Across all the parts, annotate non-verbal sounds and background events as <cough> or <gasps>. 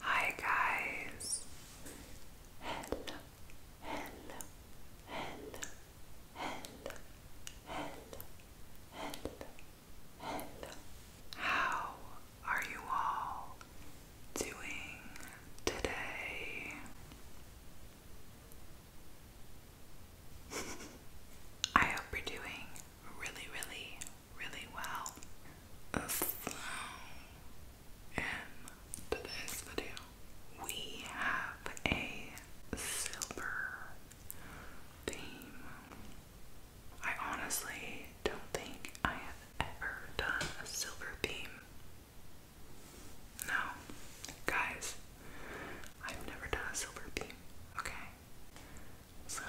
Hi guys. Hello. Hello. Hello. Hello. Hello. Hello. Hello. How are you all doing today? I hope you're doing really, really, really well. So, in today's video, we have a silver theme. I honestly don't think I have ever done a silver theme. No, guys, I've never done silver beam, okay? So,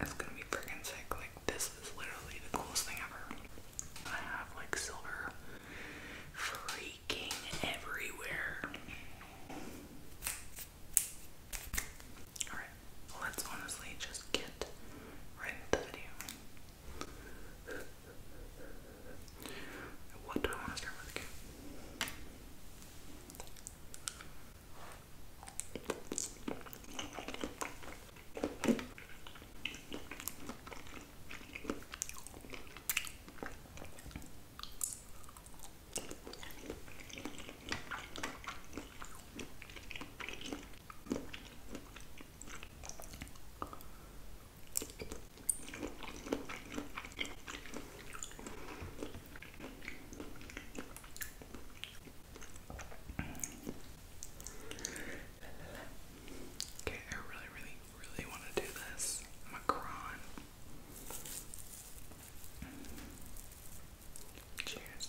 it's gonna be freaking sick. Like, this is literally the coolest thing ever. I have like silver freaking everywhere. Alright, let's honestly just get right into the video. What do I want to start with again? Okay, I really, really, really want to do this. Macron. Cheers.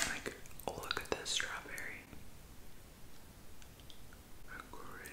Like, oh, look at this strawberry. Crazy.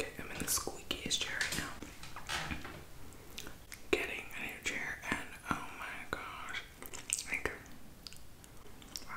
Okay, I'm in the squeakiest chair right now. Getting a new chair, and oh my gosh, like, wow.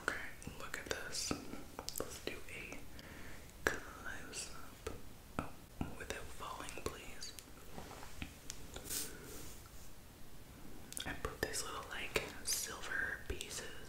Okay, look at this. Let's do a close up. Oh, without falling, please. I put these little like silver pieces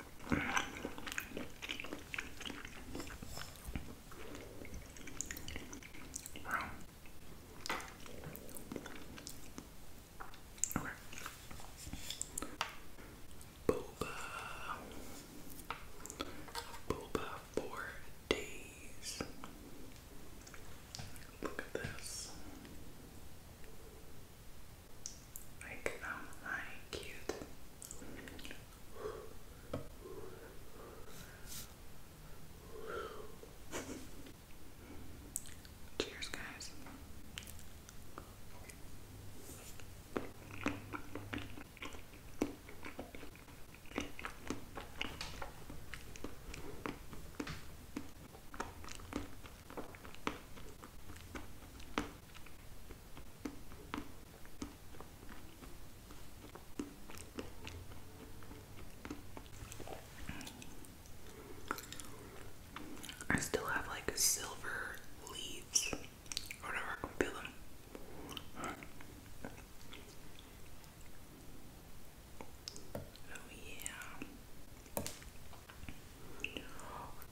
Wow. Okay. Boba. Boba for days. Look at this. Like I'm um, lying cute. Cheers, guys. I still have like silver leaves Oh yeah.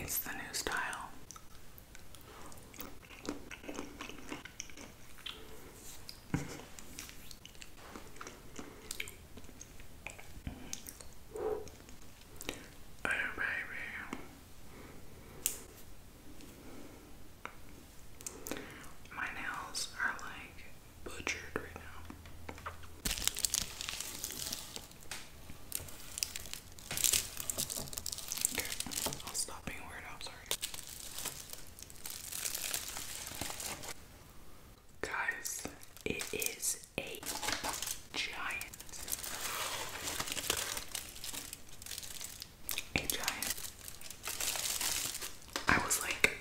It's the new style. Oh, baby. My nails are like butchered right now. Okay, I'll stop being weird. I'm sorry. Guys, it is a giant. A giant. I was like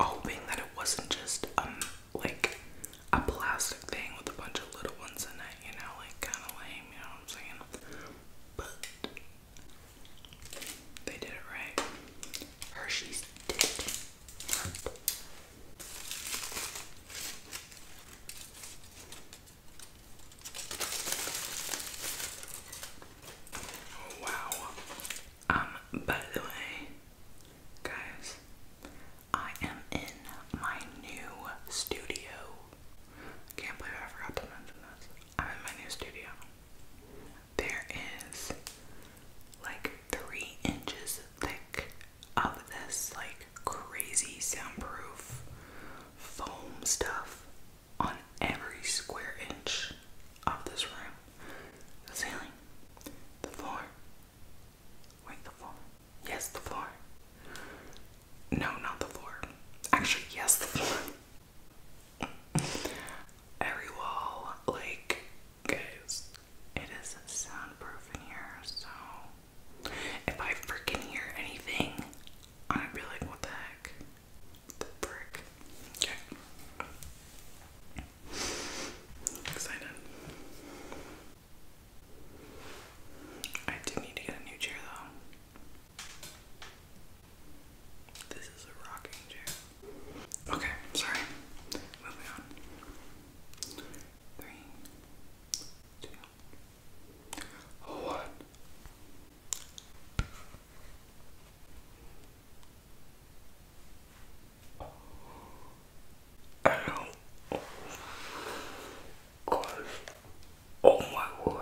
hoping that it wasn't just um like a plastic thing with a bunch of little ones in it, you know, like kinda lame, you know what I'm saying? But they did it right. Hershey's did oh, wow. Um, by the way, guys, I am in my new studio. can't believe I forgot to mention this. I'm in my new studio. There is like three inches thick of this like crazy soundproof foam stuff on every square inch of this room. The ceiling, the floor. Wait, the floor. Yes, the floor. No, not the floor. Actually, yes, the floor. <laughs> every wall, like, guys, it is soundproof in here, so if I freaking hear anything, I'd be like, what the heck? The frick. Okay. Excited. I do need to get a new chair though. This is a rocking chair. Okay, sorry. Moving on. Three, two, one. Ow. Oh. Gosh. Oh my God!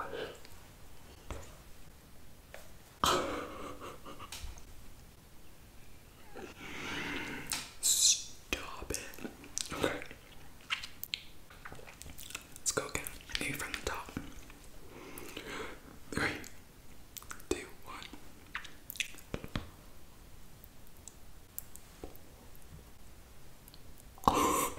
Stop it. Okay. Let's go again. I from the top. Three, two, one. <laughs>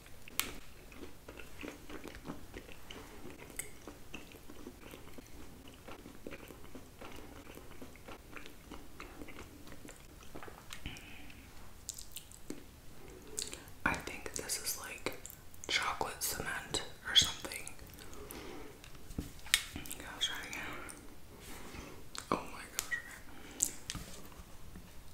I think this is like chocolate cement or something. Oh my gosh.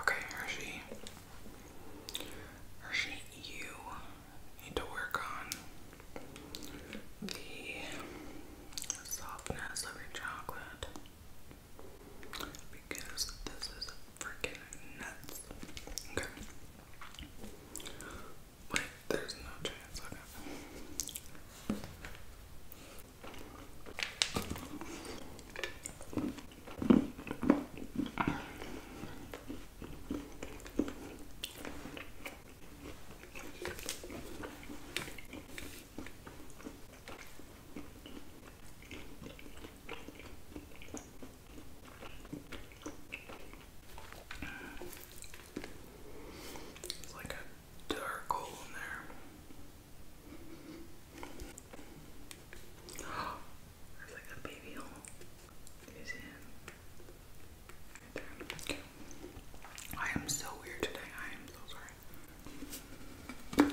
Okay, Hershey. Hershey, you need to work on the softness of your chocolate because this is freaking nuts. Okay. Wait, there's no chance. Okay. It's like a dark hole in there. <gasps> There's like a baby hole. Is in. I am so weird today. I am so sorry.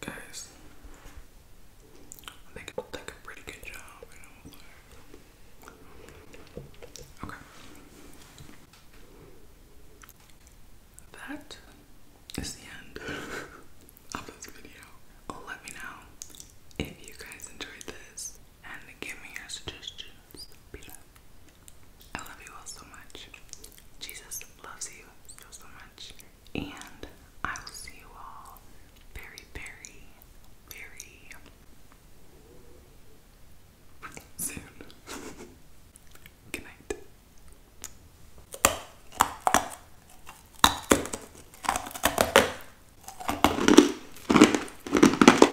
Guys, I think I'll a pretty good job. Okay. That is the end <laughs> of this video. Oh, let me know if you guys enjoyed this and give me your suggestions I love you all so much. Jesus loves you so, so much. And I will see you all very, very, very soon. <laughs> Good night.